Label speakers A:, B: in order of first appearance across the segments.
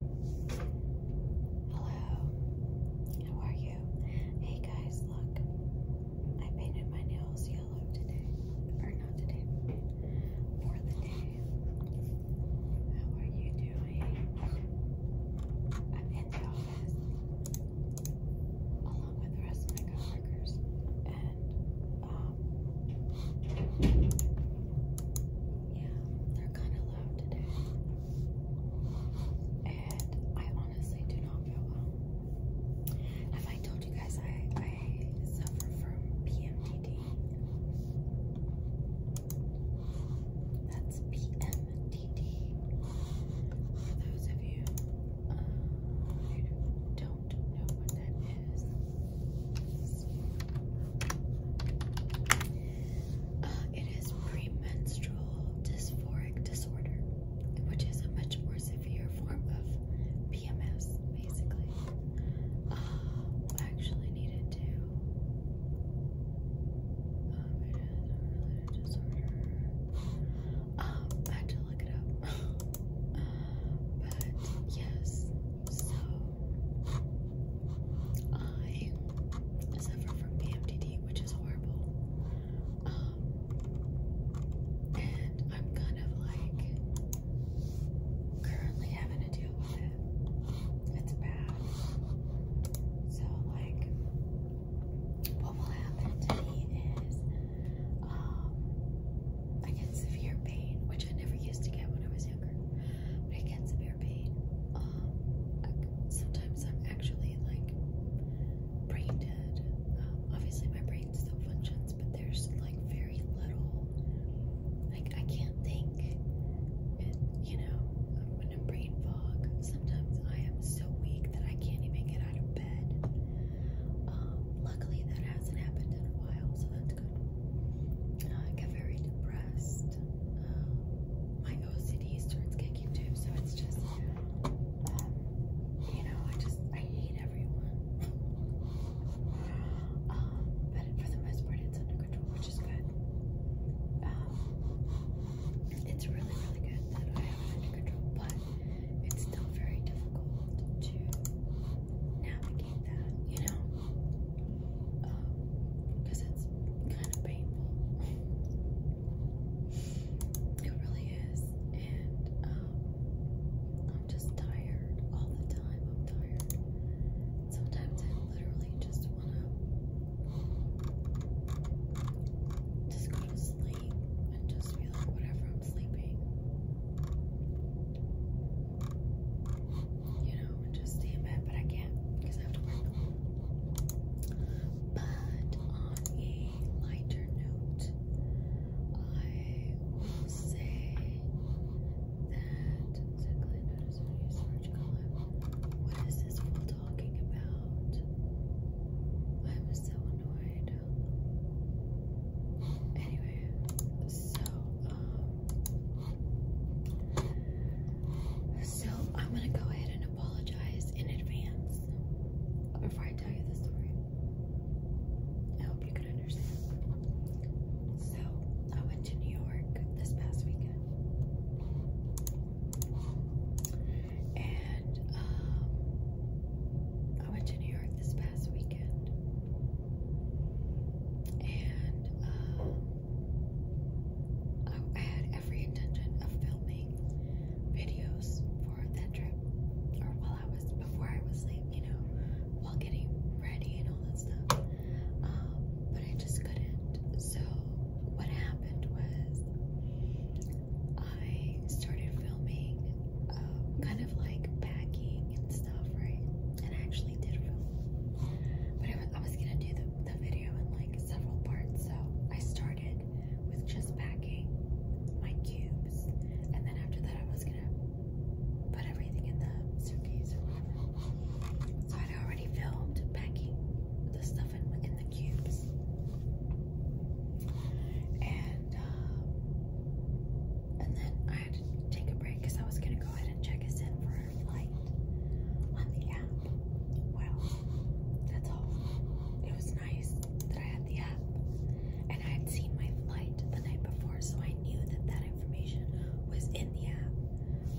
A: Hello, how are you? Hey guys, look, I painted my nails yellow today, or not today, for the day. How are you doing? I'm in the office along with the rest of my coworkers, and um, yeah, they're kind of loud today. And I honestly do not feel well. Have I told you guys I, I suffer from PMDD? That's PMDD. For those of you uh, who don't know what that is, this. Uh, it is premenstrual dysphoric disorder, which is a much more severe form of PMS, basically. Uh, I actually needed to. Um, it is a related disorder. Um, I had to look it up. uh, but yes, so I suffer from PMDD, which is horrible. Um, and I'm kind of like currently having to deal with it. It's bad. So, like, what will happen to me is um, I get severe pain, which I never used to get when I was younger. Um, I get severe pain. sometimes I'm actually like brain dead. Um, obviously, my brain still functions, but there's like very little. Like I can't think, you know, I'm in a brain fog. Sometimes I am so weak that I can't even get out of bed. Um, luckily, that hasn't happened in a while, so that's uh, I get very depressed. Um, my OCD starts kicking too, so it's just, um, you know, I just, I hate everyone. Um, but for the most part, it's under control, which is good. it's really, really good that I have it under control, but it's still very difficult to navigate looking that, you know, because um, it's kind of painful. it really is, and um, I'm just tired all the time. I'm tired. Sometimes I literally just want to just go to sleep and just be like, whatever, I'm sleeping you know, and just stay in bed, but I can't because I have to work. But on a lighter note, I will say that exactly notice when you search color. What is this fool talking about? I'm so annoyed. Anyway, so um so I'm gonna go ahead and apologize in advance before I tell you the story. I hope you can understand. So I went to New York this past weekend. And um, I went to New York this past weekend. And um, I had every intention of filming videos for that trip, or while I was before I was like you know, while getting ready and all that stuff. Um, but I just couldn't. So what happened was I started filming, um, kind of like packing and stuff, right? and I actually did film. But I, I was gonna do the, the video in like several parts, so I started with just packing my cubes, and then after that, I was gonna put everything in the suitcase or whatever. So I'd already filmed packing the stuff in, in the cubes. And, um, and then I had to take a break because I was gonna go ahead and check us in for our flight on the app. Well, that's all. It was nice that I had the app, and I had seen my flight the night before, so I knew that that information was in the app.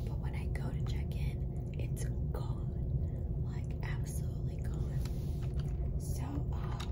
A: But when I go to check in, it's gone, like absolutely gone. So, um,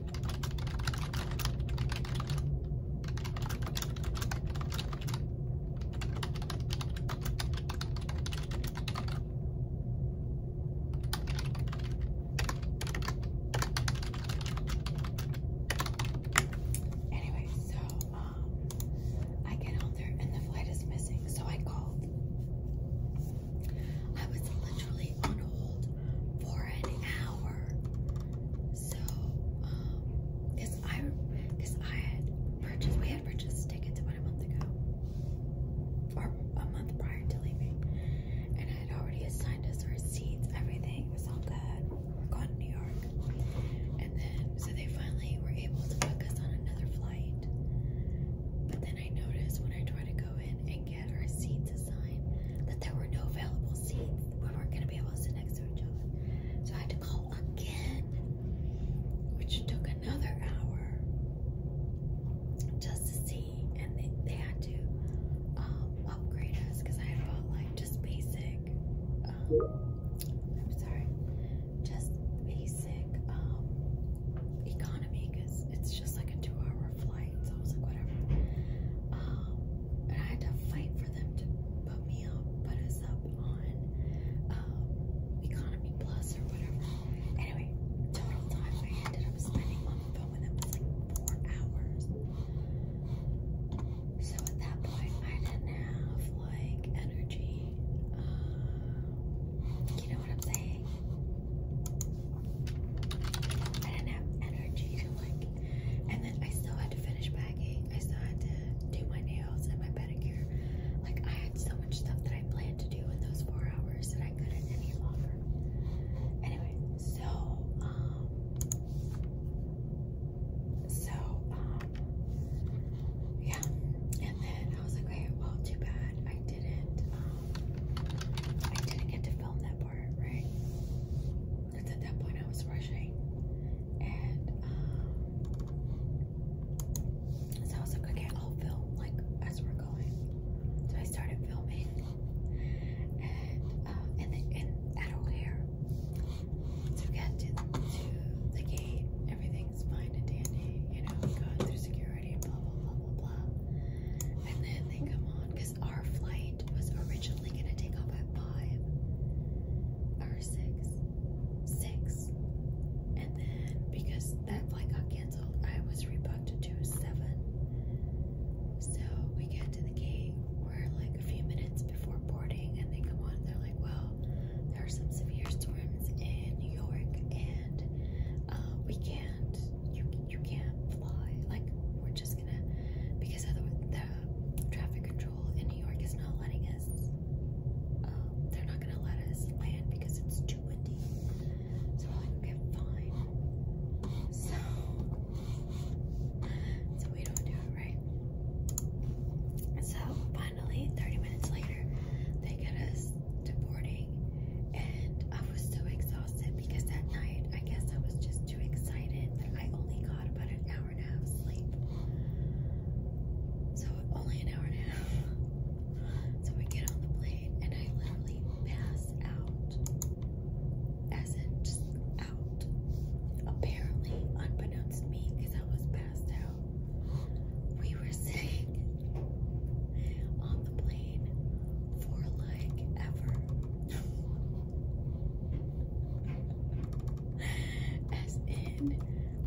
A: Anyway, so um, I get on there and the flight is missing, so I called I was literally on hold for an hour. So, um, because I, cause I had purchased, we had purchased tickets about a month ago, or a month prior to leaving, and I had already assigned us our seats, everything was all good. We're going to New York, and then so they finally were able to book us on another flight. But then I noticed when I tried to go in and get our seats assigned, that there were no available seats. We weren't going to be able to sit next to each other. So I had to call again, which took another hour just to see. And they, they had to um, upgrade us because I had bought like just basic. Um, I'm sorry, just basic um, economy because it's just like a two hour hour flight, so I was like, whatever. Um, and I had to fight for them to put me up, put us up on um, Economy Plus or whatever. Anyway, total time I ended up spending on the phone with them was like four hours. So at that point, I didn't have like energy. Uh, you know what I'm saying? I didn't have energy to like, and then I still had to finish packing. I still had to do my nails and my pedicure. Like I had so much stuff that I planned to do in those four hours that I couldn't any longer. Anyway, so um, so um, yeah, and then I was like, okay, well, too bad I didn't. Um, I didn't get to film that part, right? Because at that point I was rushing. And um, so I was like, okay, I'll film like as we're going. So I started filming. And um, then and at O'Hare. So we got to, the gate, everything's fine and dandy, you know, through security security, blah, blah, blah, blah, blah. And then they come on because our flight was originally going to take off at 5 or 6. 6. And then because that flight got canceled, I was rebooked to 7. So we get to the gate, we're like a few minutes before boarding, and they come on and they're like, well, there are some severe storms in New York, and uh, we can't you, you can't fly. Like, we're just gonna, because otherwise the traffic control in New York is not letting us, um, they're not gonna let us land because it's too windy. So we're like, okay, fine. So, so we don't do it right. So finally, 30 minutes later, they get us to boarding morning and I was so exhausted because that night I guess I was just too excited that I only got about an hour and a half sleep. So only an hour and a half. So I get on the plane and I literally pass out. As in just out. Apparently unbeknownst to me because I was passed out. We were sitting on the plane pain for like ever. As in,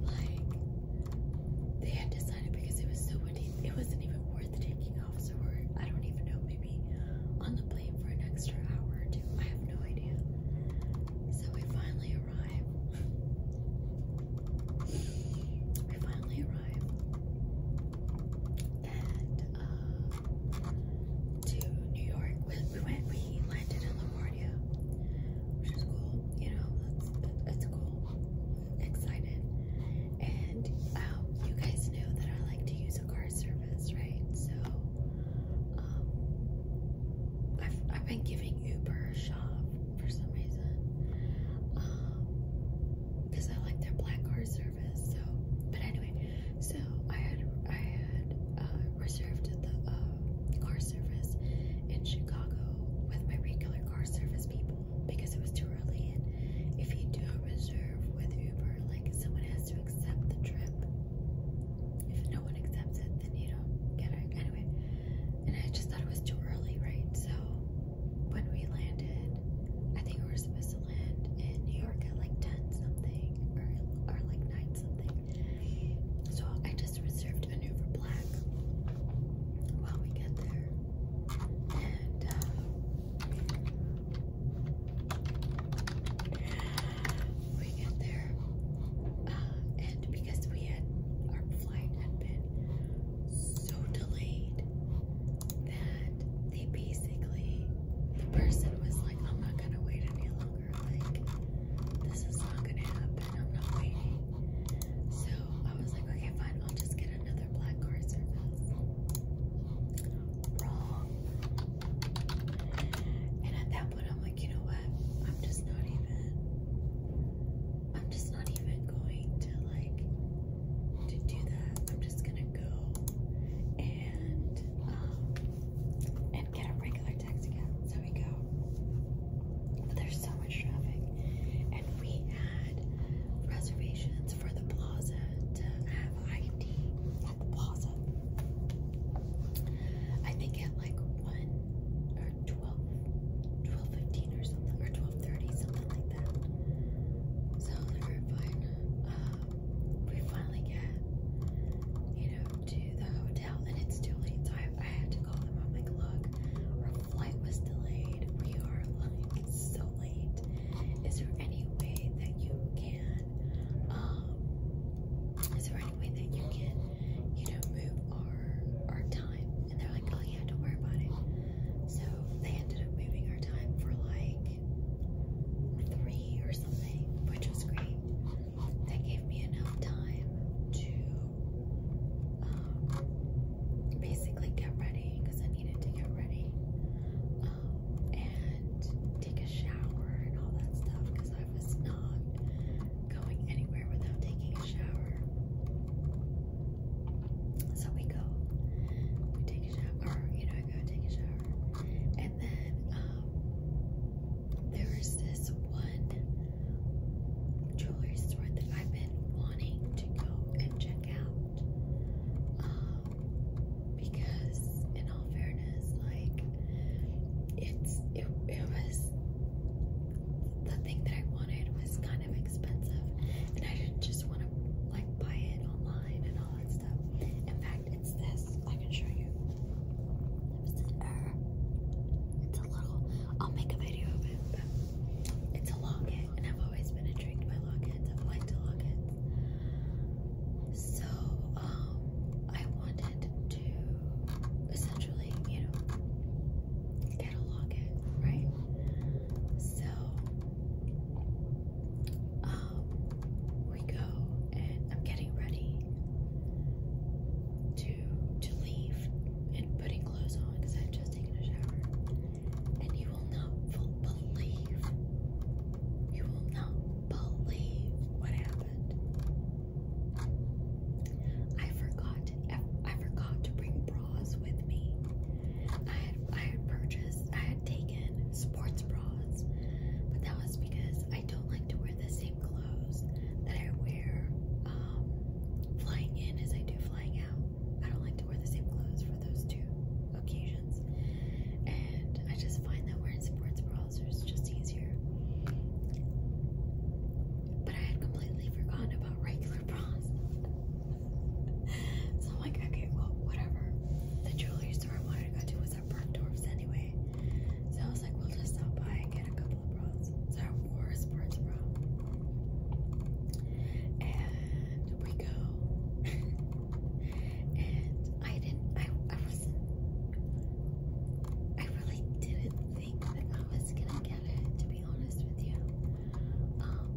A: like, they had decided because it was so windy, it wasn't even worth taking off. So we're, I don't even know, maybe on the plane for an extra hour or two. I have no idea. So we finally arrive. we finally arrive and uh, to New York. We, we went, we landed in LaGuardia, which is cool. You know, that's, that's cool. Excited. And um, you guys know that I like to use a car service, right? So um, I've, I've been giving Uber a shot for some reason. Um, because I like their black card service. So, but anyway, so I had I had uh, reserved the uh, car service in Chicago with my regular car service people because it was too early. And if you do a reserve with Uber, like someone has to accept the trip. If no one accepts it, then you don't get it anyway. And I just thought it was too early, right? So when we landed, I think we were supposed to land in New York at like 10 something or, or like 9 something. So I just reserved a new for black while we get there. And uh, we get there. Uh, and because we had our flight had been so delayed, that they basically, the person was like, I'm not gonna wait any longer. Like, this is not gonna happen. I'm not waiting. So I was like, okay, fine, I'll just get another black card service. Wrong. And at that point, I'm like, you know what? I'm just not even. I'm just not even going to like to do that. I'm just gonna go and um and get a regular taxi cab. So we go. But there's so much traffic, and we had reservations for the plaza to have ID at the plaza. I think at like one or 12, 12.15 15 or something, or 12.30, something like that. So they were fine. Uh, we finally get, you know, to the hotel, and it's too late, so I, I had to call them. I'm like, look, our flight was delayed. We are, like, so late. Is there any way that you can, um, is there any way that you can, you know, move our, our time? and they're like, oh yeah, don't worry about it. So they ended up moving our time for like three or something, which was great. That gave me enough time to um, basically get ready because I needed to get ready um, and take a shower and all that stuff because I was not going anywhere without taking a shower. So we go, we take a shower, you know, go take a shower. And then um, there is this one jewelry store that I've been wanting to go and check out. Um, because, in all fairness, like, it's, it, it was, the thing that I wanted was kind of kind of expensive, and I didn't just want to like buy it online and all that stuff. In fact, it's this. I can show you. It's a little. I'll make a video of it, but it's a locket, and I've always been intrigued by lockets. I've liked to lockets, so um, I wanted to essentially, you know, catalog it, right? So um we go and I'm getting ready to to leave and putting clothes on because i just taken a shower. And you will not believe you will not believe what happened. I forgot I forgot to bring bras with me. I had I had purchased I had taken sports bras, but that was because I don't like to wear the same clothes that I wear um, flying in as I do flying out. I don't like to wear the same clothes for those two occasions, and I just find that wearing sports bras is just easier. But I had completely forgotten about regular bras so I'm like, okay, well, whatever. The jewelry store I wanted to go to was at Bergdorf's anyway. So I was like, we'll just stop by and get a couple of bras. So I wore a sports bra. And we go. and I didn't, I, I wasn't, I really didn't think that I was gonna get it, to be honest with you, um,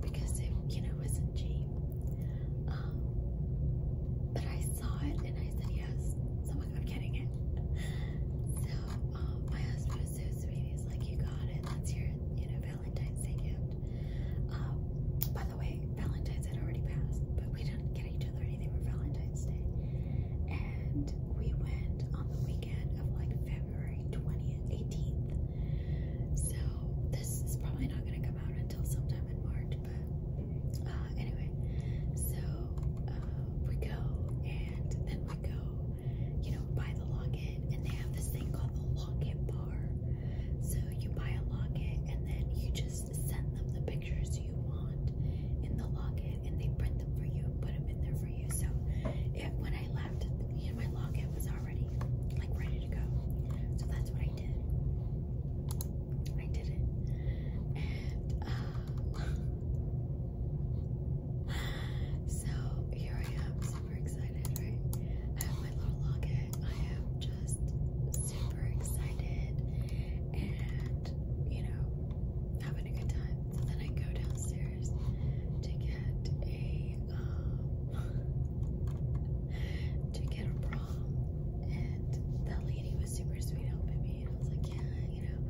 A: because it, you know, wasn't cheap. Um, but I saw it and I said yes, so I'm getting it. So um, my husband was so sweet. He's like, "You got it. That's your, you know, Valentine's Day gift." Um, by the way, Valentine's had already passed, but we didn't get each other anything for Valentine's Day, and we went on the weekend weekend of like February 20th, 18th. So this is probably not going to come out until sometime in March, but uh, anyway. So uh, we go and then we go, you know, buy the locket, and they have this thing called the locket bar. So you buy a locket, and then you just send them the pictures you want in the locket, and they print them for you and put them in there for you. So if when when I left, you know, my locket was already like ready to go. So that's what I did. I did it. And uh, so here I am, super excited, right? I have my little locket. I am just super excited and, you know, having a good time. So then I go downstairs. Sears to get a um, to get a bra, and that lady was super sweet helping me, and I was like, yeah, you know,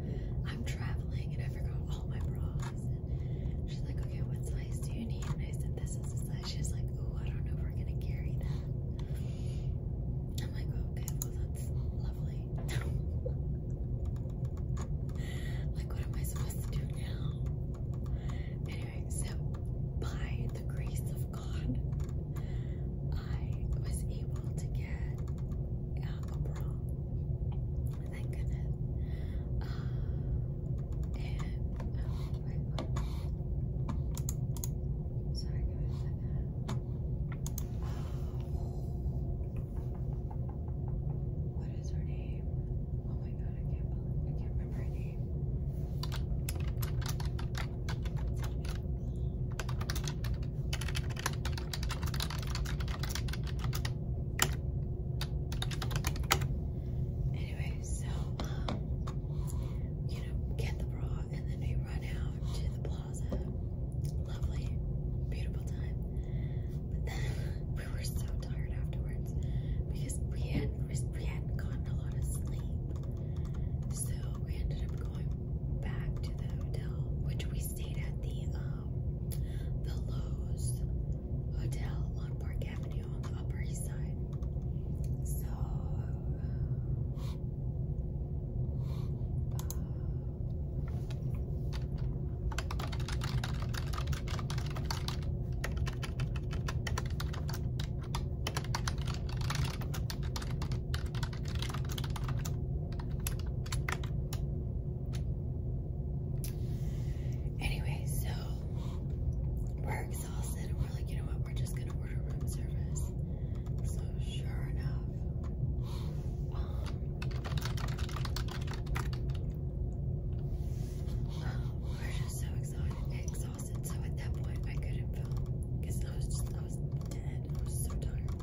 A: I'm traveling and I forgot all my bras. And she's like, okay, what size do you need? And I said, this is the size. She's like, oh, I don't know if we're gonna carry that. I'm like, okay, well that's lovely. Like, what am I supposed to do now? Anyway, so by the grace of God, I was able to get uh, a bra. Thank goodness. Uh, and, oh Sorry, give me a second. What is her name? Oh my god, I can't believe I can't remember her name. Anyway, so um, you know, get the bra and then we run out to the plaza. Lovely, beautiful time. But then we were so tired afterwards because we had we hadn't gotten a lot of sleep. So we ended up going back to the hotel, which we stayed at the um the Lowe's Hotel on Park Avenue on the Upper East Side. So uh, Anyway, so we're exhausted and we're like, you know what, we're just gonna order room service. So sure enough, um, we're just so exhausted, exhausted. So at that point, I couldn't film because I was just, I was dead. I was so tired.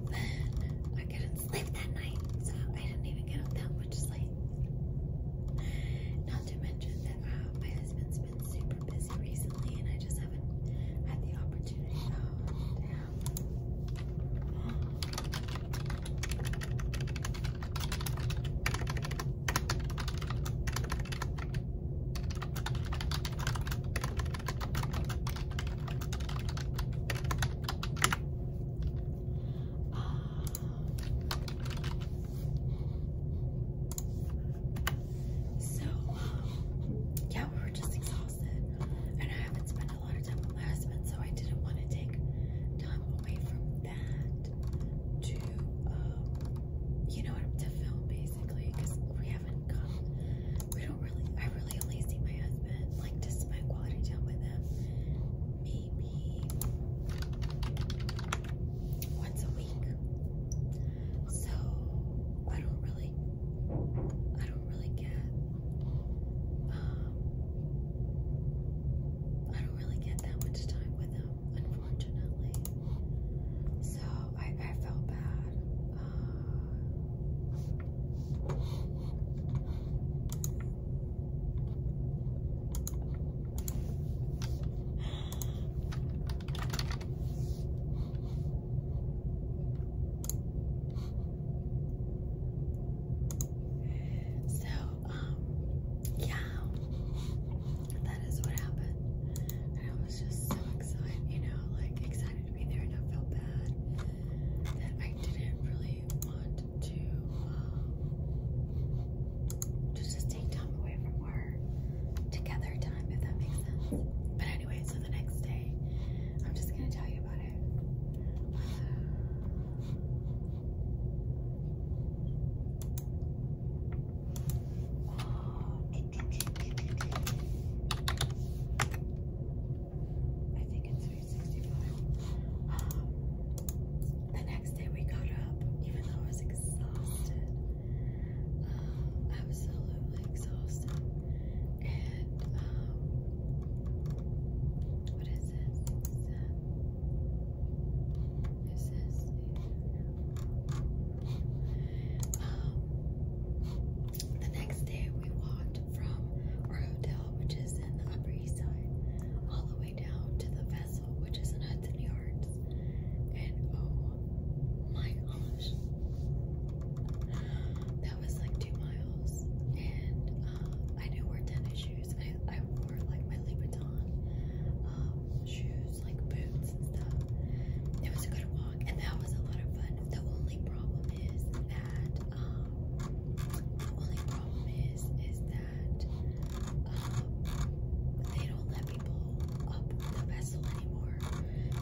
A: Well, then I couldn't sleep that night, so I didn't even get up that much sleep. Not to mention that uh, my husband's been super busy recently, and I just haven't had the opportunity uh, to have so, um, yeah, we were just exhausted exhausted and I haven't spent a lot of time with my husband, so I didn't want to take time away from that to, um, you know, to film basically because we haven't come. We don't really, I really only see my husband, like to spend quality time with him maybe once a week. So I don't really, I don't don't really get. Um, I don't really get that much time with him, unfortunately. So I, I felt bad. Uh, so, um, yeah, that is what happened. And I was just so excited, you know, like excited to be there and I felt bad that I didn't really want to, um, to just take time away from work, together time, if that makes sense. But anyway, so the next day, I'm just gonna tell you about it. I think it's 365. the next day we got up, even though I was exhausted. Um, absolutely exhausted. And, um, what is this? this? Um, the next day we walked from our hotel, which is in the Upper East Side, all the way down to the vessel, which is in Hudson Yards. And oh my gosh, that was like two miles, and um, I didn't wear tennis shoes. I, I wore like my Louboutin um, shoes, like boots and stuff. It was a good walk, and that was a lot of fun. The only problem is that um, the only problem is is that um, they don't let people up the vessel anymore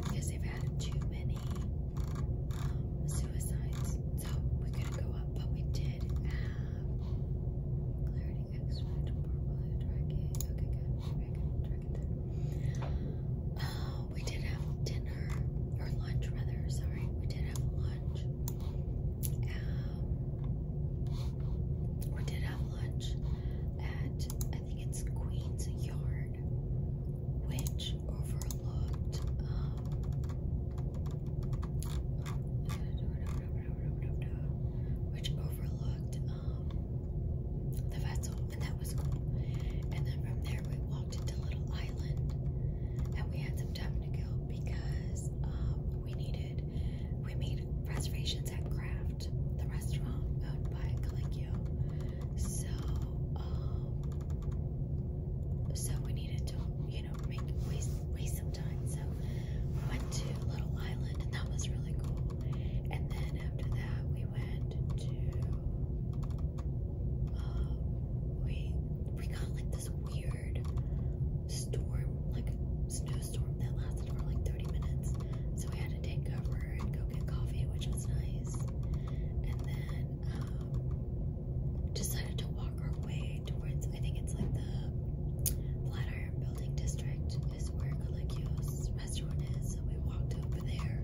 A: because they've had too many. Um, suicides, so we couldn't go up, but we did have clarity extract, Okay, good. Okay, good. it there. Uh, we did have dinner or lunch, rather. Sorry, we did have lunch. Um, we did have lunch at I think it's Queen's Yard which overlooked. Um, which overlooked um, the vessel, and that was And then from there, we walked into Little Island, and we had some time to kill because um, we needed. We made reservations at Craft, the restaurant owned by Calicchio, so, um, so we needed to, you know, make waste waste some time. So we went to Little Island, and that was really cool. And then after that, we went to, uh, we we got like this weird storm, like snowstorm that lasted for like 30 minutes. So we had to take cover and go get coffee, which was nice. And then um, decided to walk our way towards, I think it's like the Flatiron Building District is where Calicchio's restaurant is, so we walked over there,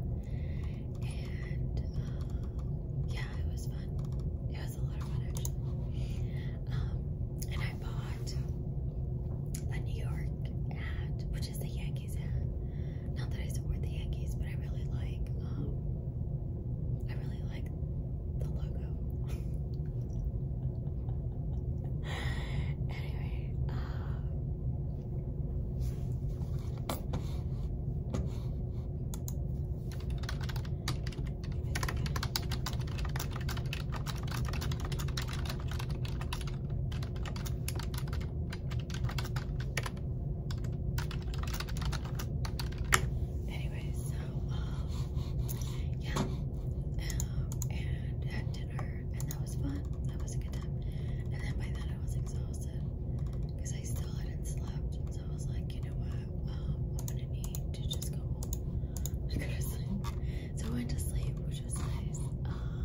A: and um, yeah, it was fun. It was a lot of fun, actually. Um, and I bought a New York hat, which is the Yankees hat. Not that I support the Yankees, but I really like um, I really like the logo. anyway, uh, Anyway, so um, yeah, um, and had dinner, and that was fun. That was a good time. And then by then I was exhausted because I still hadn't slept, so I was like, you know what, um, I'm gonna need to just go home. I go to sleep. So I went to sleep, which was nice. Um,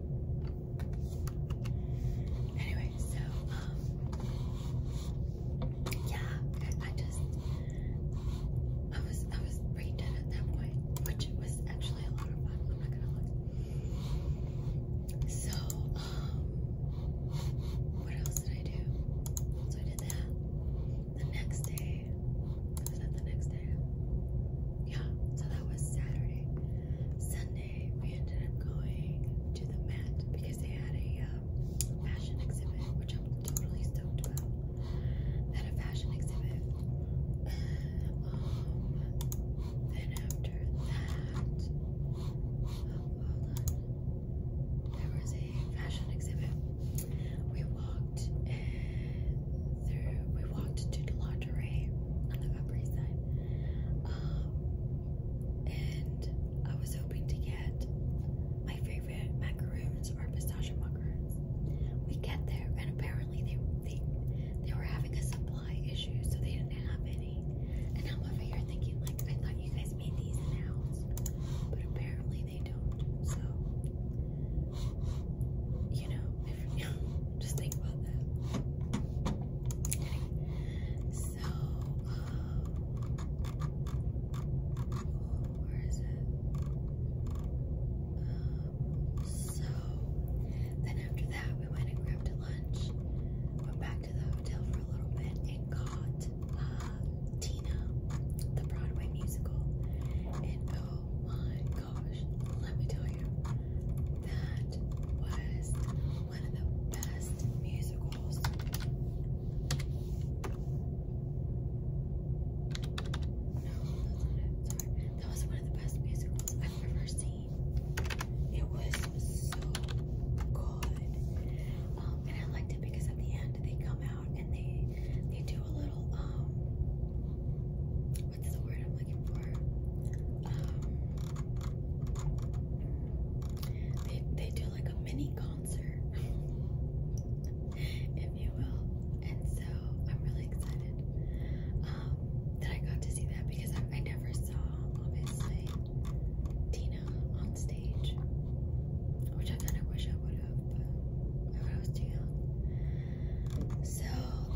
A: Anyway, so um yeah, I, just I was I was pretty dead at that point, which was actually a lot of fun, I'm not gonna lie. So um what else did I do? So I did that the next day Friday. And then the next day. Yeah, so that was Saturday. Sunday, we ended up going to the Met because they had a um, fashion exhibit, which I'm totally stoked about. They had a fashion exhibit. Um, then after that, oh, hold on. There was a fashion exhibit. We walked and through, we walked to the lingerie on the Upper East Side. Um, and I was hoping to get my favorite macaroons or pistachio macaroons. We get there and apparently they they they were having a supply issue, so they didn't have any. And I'm over here thinking like I thought you guys made these in the house, but apparently they don't. So you know, if, you know, just think about that. Okay. So, um, where is it? Um, so, then after that, we went and grabbed a lunch, went back to the hotel for a little bit, and caught uh, Tina, the Broadway musical. And oh, Oh my gosh, let me tell you, that was one of the best musicals. No, that's not it. Sorry. That was one of the best musicals I've ever seen. It was so good. Um, and I liked it because at the end they come out and they they do a little um what's the word I'm looking for? Um, they they do like a mini concert, if you will, and so I'm really excited um, that I got to see that because I, I never saw obviously Tina on stage, which I kind of wish I would have, but I was too young. So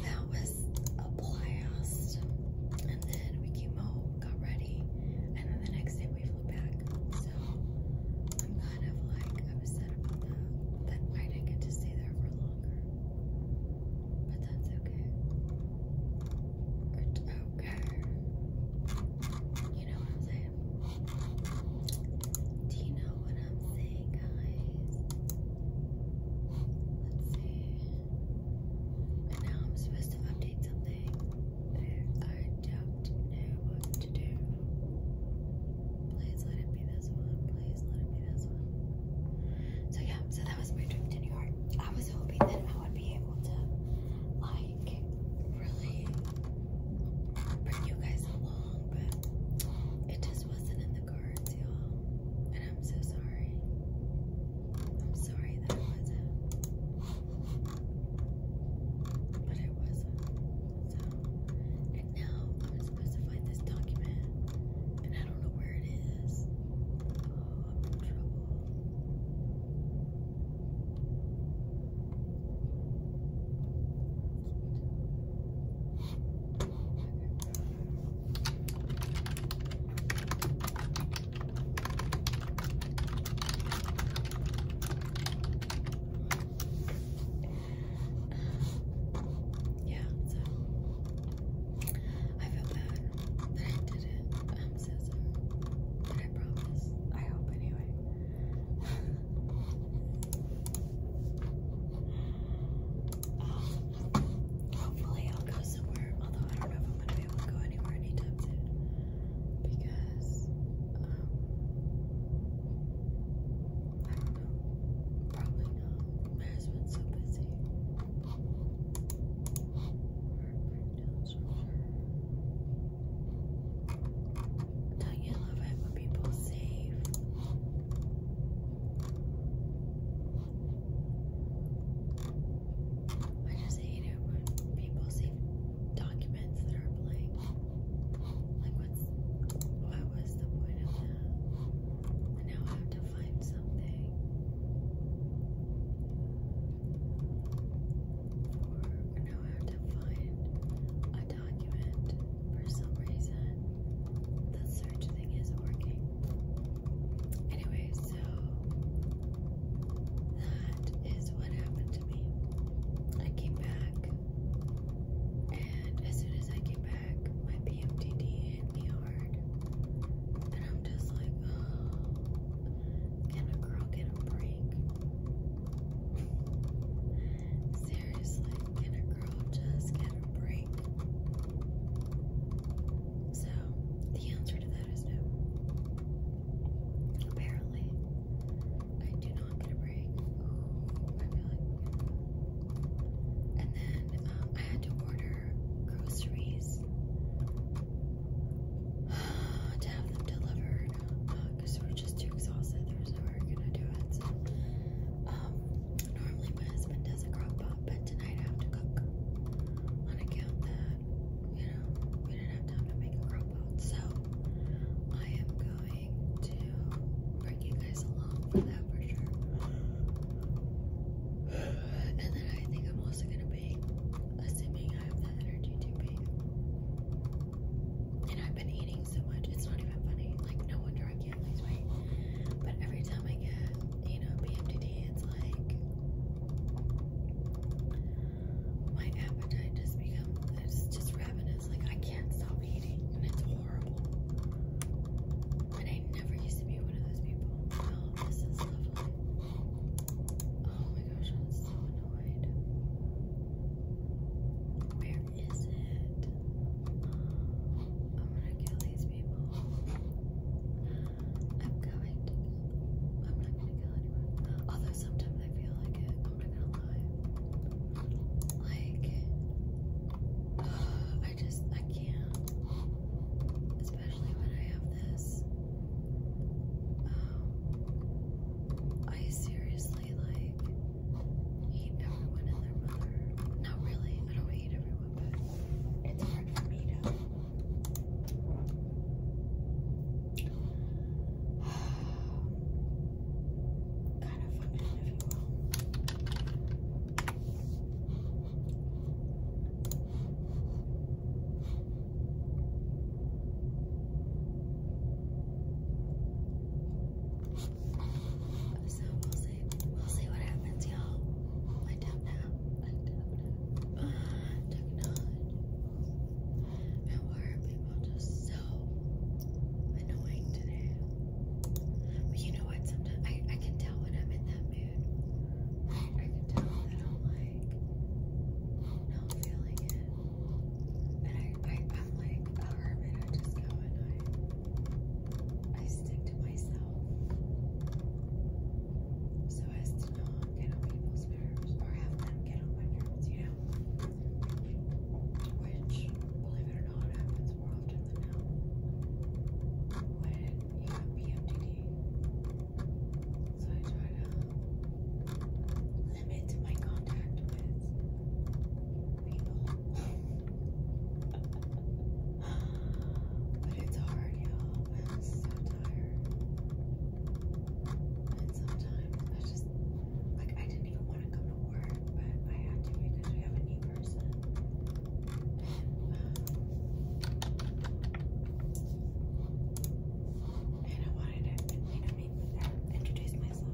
A: that was a blast. And then we came home, got ready, and then the next day we flew back. So I'm kind of like upset about that. That I didn't get to stay there for longer. But that's okay. okay. You know what I'm saying? Do you know I'm saying, guys. Let's see. And now I'm supposed to update something. I don't know what to do. Please let it be this one. Please let it be this one. So yeah, so that was my dream to New York. I was hoping that I would be able to like really bring you guys along, but it just wasn't in the cards, y'all. And I'm so sorry. I'm sorry that it wasn't. But it wasn't. So, and now I'm supposed to find this document. And I don't know where it is. Oh, I'm in trouble. Yeah, so I feel bad that I did it. I'm um, so sorry. But I promise. I hope anyway. Um, hopefully I'll go somewhere, although I don't know if I'm gonna be able to go anywhere anytime soon. Because um I don't know. Probably not. My husband's so busy. Or breakdowns for sure. Don't you love it when people save? I just hate it when people save documents that are blank. Like, what's what was the point of that? now I have to find something now I have to find a document for some reason. The search thing isn't working. Anyway, so that is what happened to me. I came back, and as soon as I came back, my PMDD hit me hard. And I'm just like, oh, can a girl get a break? Seriously, can a girl just get a break? So, the answer to that is no. Apparently, I do not get a break. Ooh, I feel like. And then um, I had to order groceries to have them delivered. Uh, because we were just too exhausted. There was no way we were gonna do it. So, um, normally my husband does a crock pot, but tonight I have to cook on account that you know we didn't have time to make a crock pot. So I am going to bring you guys along for that for sure. And then I think I'm also gonna bake, assuming I have the energy to bake. And I've been eating so much, it's not even funny. Like, no wonder I can't lose weight. But every time I get, you know, PMDD, it's like my appetite just becomes it's just ravenous. Like, I can't stop eating, and it's horrible. And I never used to be one of those people. Oh, this is lovely. Oh my gosh, I'm so annoyed. Where is it? I'm gonna kill these people. I'm going I'm not gonna kill anyone. Although sometimes I feel like it. I'm not gonna lie. Like, I just I can't. Especially when I have this. Um, I seriously like hate everyone and their mother. Not really. I don't hate everyone, but it's hard for me to. kind of function, if you will. So we'll see. We'll see what happens, y'all. I don't know. I don't know. Uh, people just so annoying today? But you know what? Sometimes I, I can tell when I'm in that mood. I can tell that I'm like not feeling it. I, I'm like a hermit. I just go and I, I stick to myself so as to not get on people's nerves or have them get on my nerves, you know? Which, believe it or not, happens more often than now when you have PMDD. So I try to limit my contact with people. but it's hard, I'm so tired. And sometimes I just, like, I didn't even want to come to work, but I had to because we have a new person. And, um, I wanted it, I to introduce myself.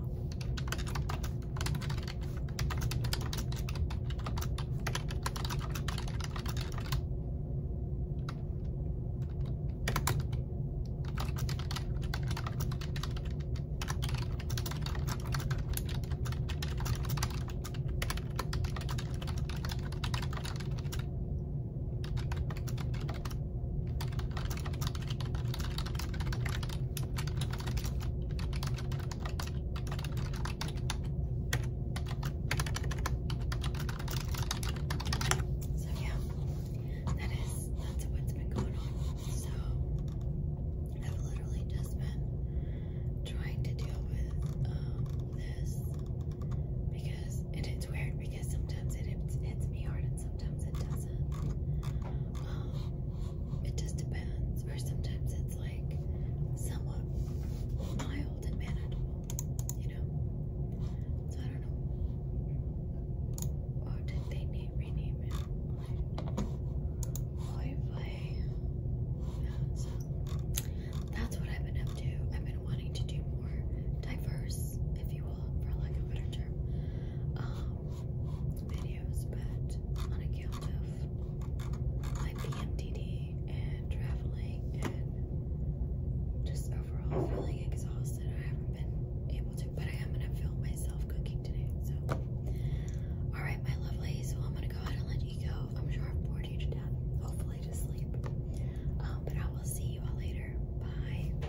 A: So yeah, that is that's what's been going on. So I've literally just been trying to deal with um, this because it's weird because sometimes it hits, me hard and sometimes it doesn't. Um, it just depends. Or sometimes it's like somewhat mild and manageable, you know? So I don't know. Oh, did they name, rename it? Boy, boy. Yeah, so that's what I've been up to. I've been wanting to do more diverse, if you will, for lack of a better term, um, videos, but on account of my PMDD and traveling and just overall feeling exhausted, I haven't been able to. But I am gonna film myself cooking today. So, all right, my lovely. So I'm gonna go ahead and let you go. I'm sure I've bored you to death. Hopefully to sleep. Um, but I will see you all later. Bye.